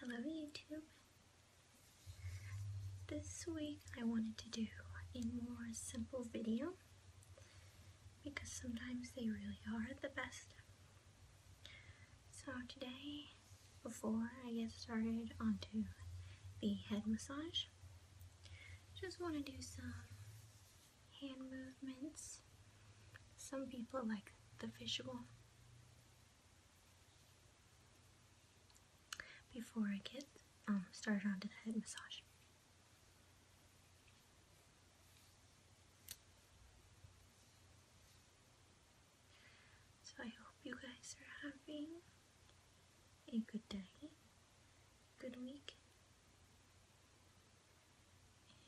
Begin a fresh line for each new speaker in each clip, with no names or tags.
Hello YouTube! This week I wanted to do a more simple video because sometimes they really are the best. So today, before I get started onto the head massage, just want to do some hand movements. Some people like the visual before I get um, started onto the head massage. So I hope you guys are having a good day, good week,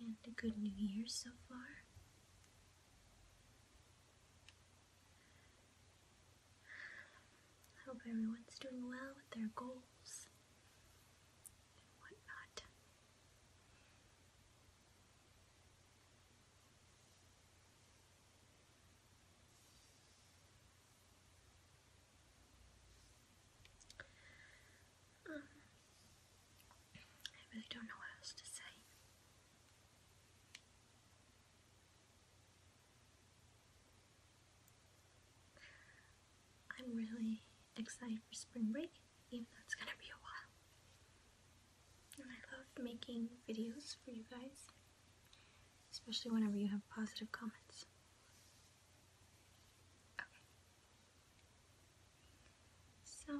and a good new year so far. I hope everyone's doing well with their goals and whatnot. Um, I really don't know what else to say. I'm really excited for spring break, even though it's gonna be a while. And I love making videos for you guys, especially whenever you have positive comments. So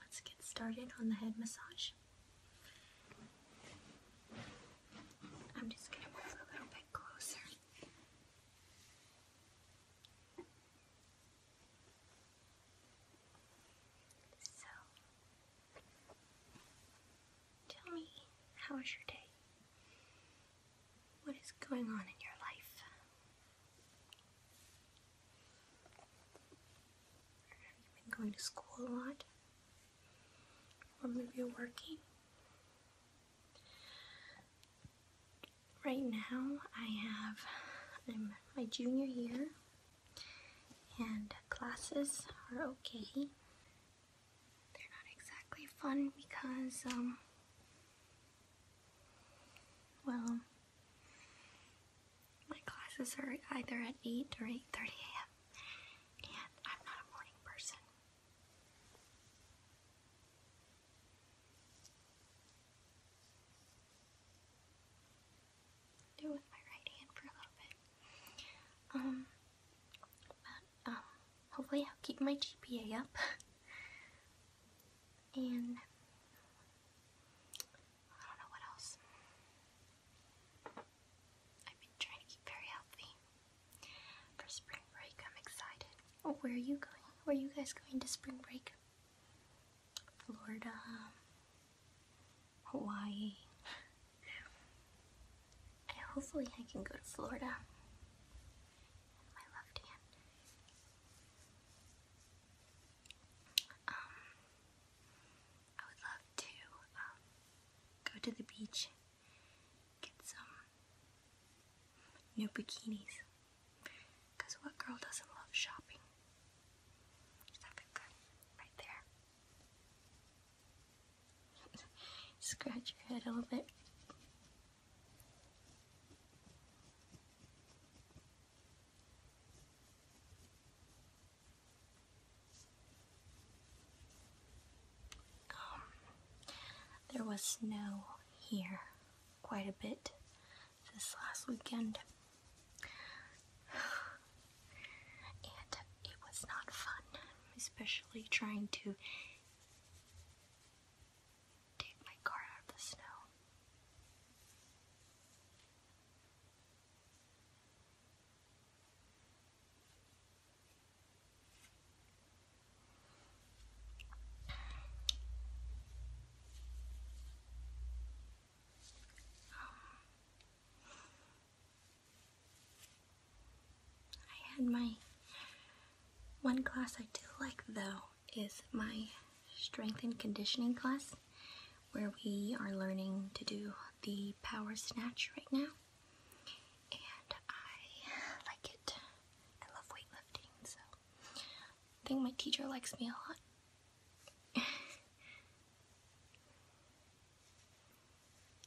let's get started on the head massage. I'm just going to move a little bit closer. So, tell me, how was your day? What is going on in your life? Have been going to school a lot? Or maybe you're working? Right now, I have I'm my junior year, and classes are okay. They're not exactly fun because um, well, my classes are either at 8 or 8.30 a.m. and I'm not a morning person. Do with my right hand for a little bit. Um, but um, hopefully I'll keep my GPA up. and I don't know what else. I've been trying to keep very healthy for spring break. I'm excited. Oh, where are you going? Where are you guys going to spring break? Florida, Hawaii. hopefully, I can go to Florida. My left hand. Um, I would love to um, go to the beach, get some new bikinis. Because what girl doesn't love shopping? Is that good? Right there. Scratch your head a little bit there was snow here quite a bit this last weekend. And it was not fun, especially trying to take my car out of the snow. Um, I had my one class I do like though is my strength and conditioning class where we are learning to do the power snatch right now. And I like it. I love weightlifting, so I think my teacher likes me a lot.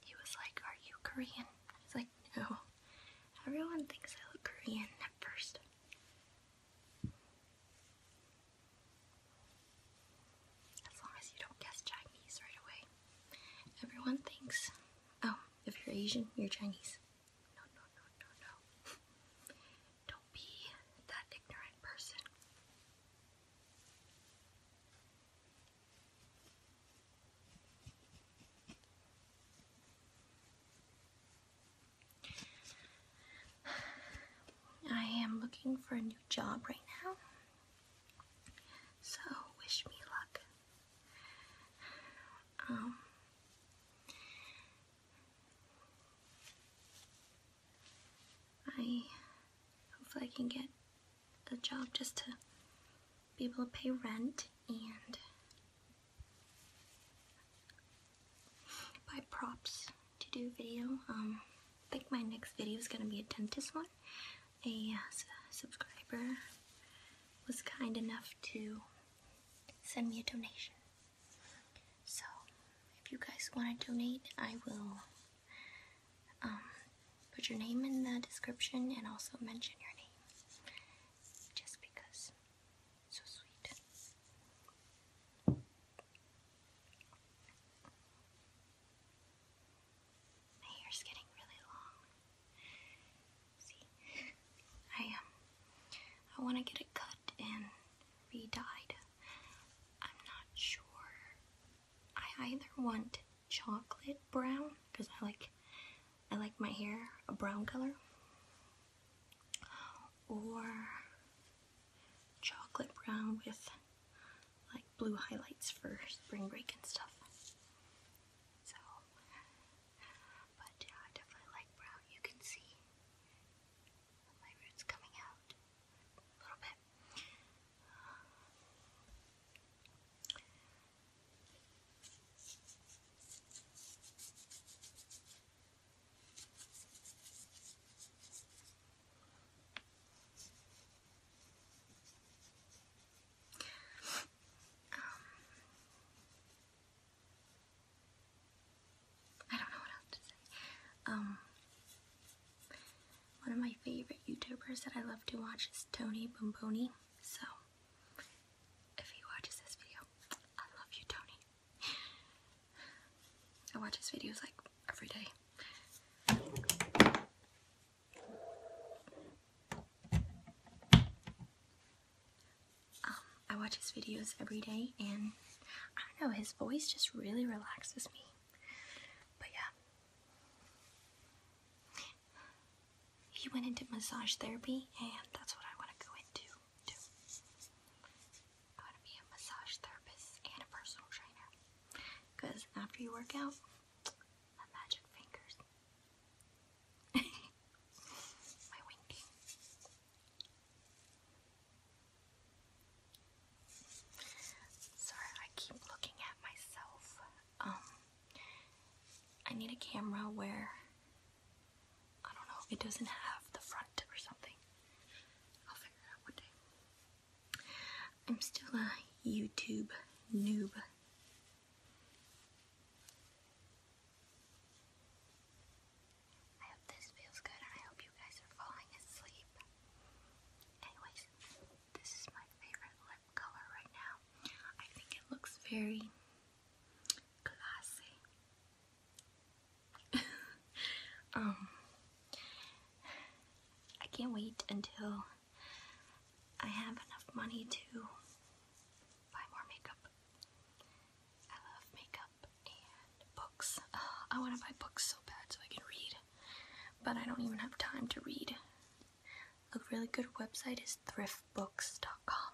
he was like, Are you Korean? I was like, No. Everyone thinks I look Korean at first. As long as you don't guess Chinese right away. Everyone thinks, oh, if you're Asian, you're Chinese. No, no, no, no, no. don't be that ignorant person. I am looking for a new job right now, so wish me luck. Um, I hopefully I can get a job just to be able to pay rent and buy props to do video. Um, I think my next video is gonna be a dentist one. A uh, subscriber was kind enough to send me a donation. So, if you guys want to donate, I will um, put your name in the description and also mention your name. Just because so sweet. My hair's getting really long. See, I um, I want to get it cut and re-dyed. I'm not sure. I either want chocolate brown because I like, I like my hair a brown color, or chocolate brown with like blue highlights for spring break and stuff. So, but yeah, I definitely like brown. You can see my roots coming out a little bit. Um, I don't know what else to say. Um, one of my favorite YouTubers that I love to watch is Tony Bomboni. So, if he watches this video, I love you, Tony. I watch his videos like every day. Um, I watch his videos every day and I don't know, his voice just really relaxes me. But yeah. He went into massage therapy and that's what I want to go into. I want to be a massage therapist and a personal trainer. Because after you work out, my magic fingers, my winking. Sorry, I keep looking at myself. Um, I need a camera where I don't know, it doesn't have the front or something. I'll figure out one day. I'm still a YouTube noob. I hope this feels good and I hope you guys are falling asleep. Anyways, this is my favorite lip color right now. I think it looks very classy. um, I can't wait until I have enough money to buy more makeup. I love makeup and books. I want to buy books so bad so I can read, but I don't even have time to read. A really good website is thriftbooks.com.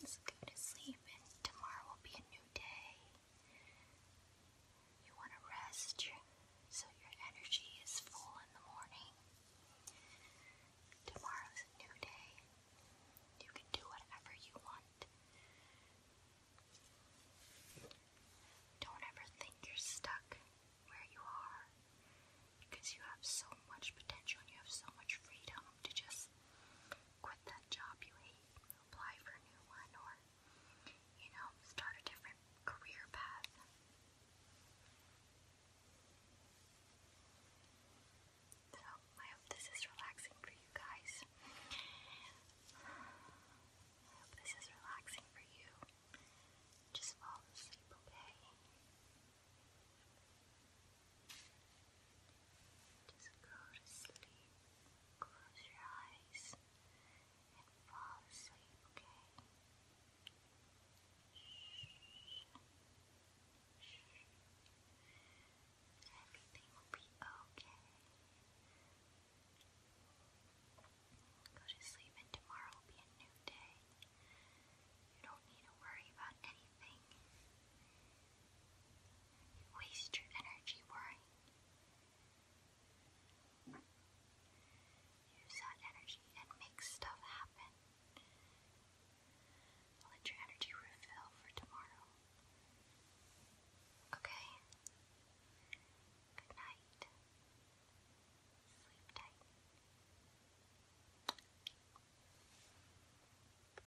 Just go to sleep and tomorrow will be a new day. You want to rest so your energy is full in the morning. Tomorrow's a new day. You can do whatever you want. Don't ever think you're stuck where you are because you have so much potential and you have so much freedom to just quit that job you hate, apply for a new one, or, you know, start a different career path. So, I hope this is relaxing for you guys. I hope this is relaxing for you. Just fall asleep, okay? Just go to sleep. Close your eyes and fall asleep, okay? Everything will be okay. Go to sleep, and tomorrow will be a new day. You don't need to worry about anything. You waste your energy worrying. Use that energy and make stuff happen. Let your energy refill for tomorrow. Okay? Good night. Sleep tight.